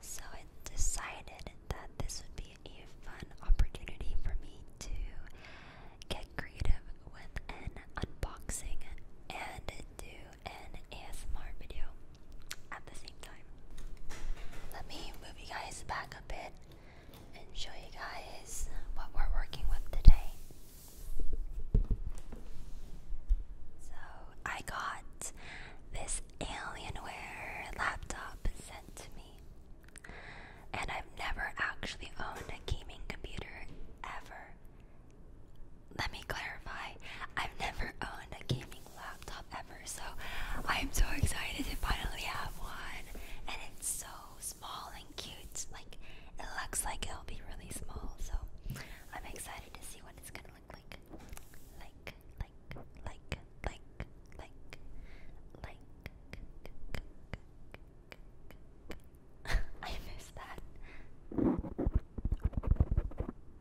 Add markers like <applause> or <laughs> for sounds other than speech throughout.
So I decided that this would be a fun opportunity for me to get creative with an unboxing and do an ASMR video at the same time. Let me move you guys back a bit and show you guys what we're working with today. So, I got this Alienware laptop sent to me, and I've never actually owned a gaming computer ever let me clarify. I've never owned a gaming laptop ever, so I'm so excited to finally have one. And it's so small and cute. Like it looks like it'll be really small, so I'm excited to see what it's gonna look like. Like, like, like, like, like, like. <laughs> I missed that.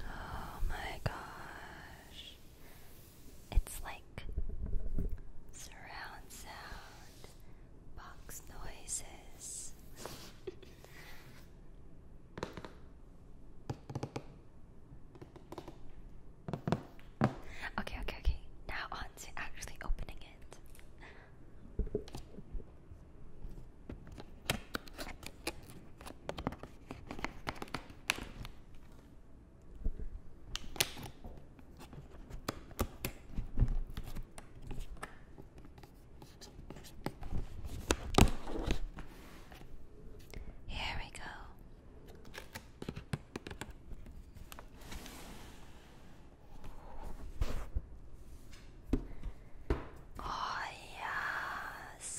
Oh, my gosh, it's like surround sound box noises. <laughs> okay, okay, okay. Now on to actually opening it. Here we go. Oh, yes.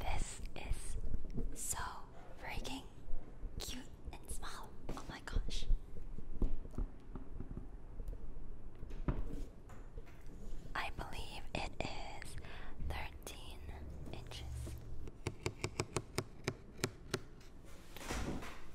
This is so freaking cute and small. Oh my gosh. I believe it is 13 inches.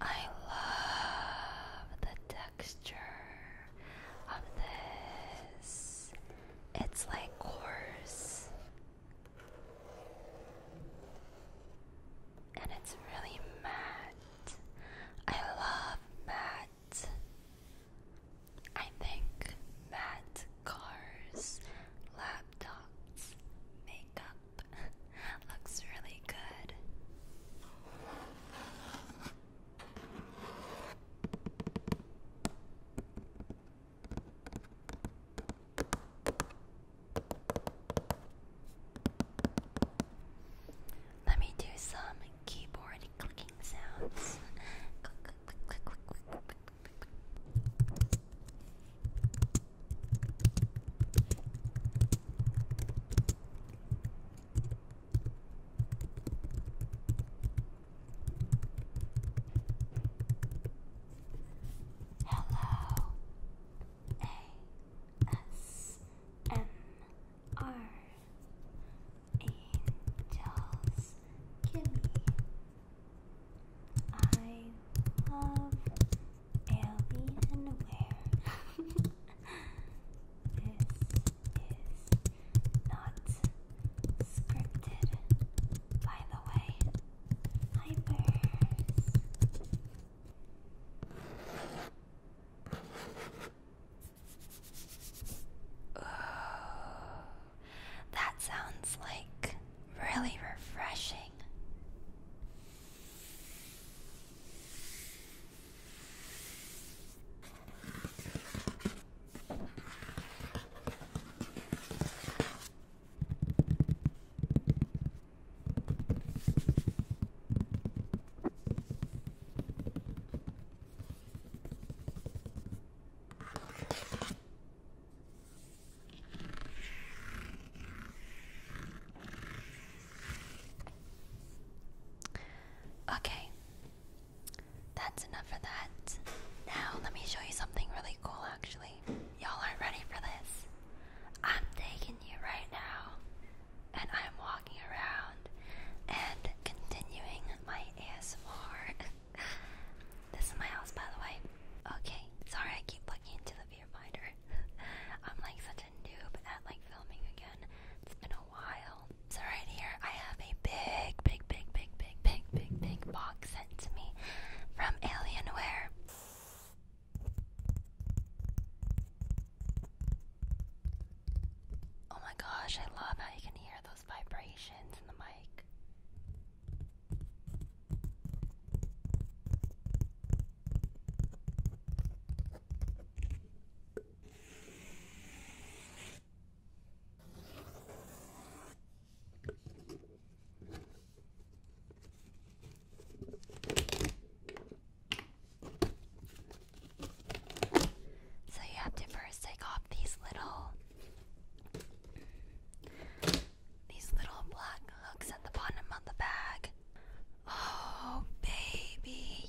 I love the texture of this. It's like coarse. And it's really matte. I love matte. I think matte cars, laptops, makeup, <laughs> Looks really good. Let me do some keyboard clicking sounds. <laughs> Hello. A S M R Angels, give I love Alienware. this is not scripted, by the way. Hypers. That sounds like really refreshing. Okay, that's enough for that. Now, let me show you something really cool, actually. Y'all aren't ready for this. I'm taking you right now, and I'm walking around and continuing my ASMR. <laughs> <laughs> this is my house, by the way. Okay, sorry I keep plugging into the viewfinder. <laughs> I'm like such a noob at like filming again. It's been a while. So right here, I have a big, big, big, big, big, big, big, box sent to me from Alienware. Oh my gosh, I love how you can hear the those vibrations in the mic. So you have to first take off these little these little black hooks at the bottom of the bag. Oh, baby.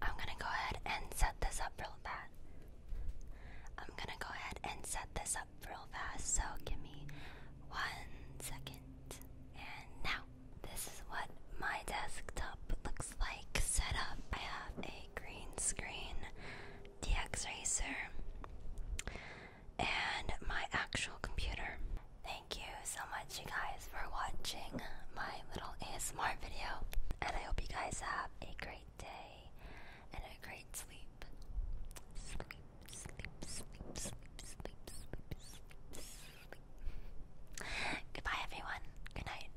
I'm going to go ahead and set this up real fast. I'm going to go ahead and set this up real fast. So give me one second. And now, this is what my desktop looks like set up. I have a green screen. DX Racer, and my actual computer. Thank you so much, you guys, for watching my little ASMR video, and I hope you guys have a great day and a great sleep. Sleep, sleep, sleep, sleep, sleep, sleep, sleep, sleep. Goodbye, everyone. Good night.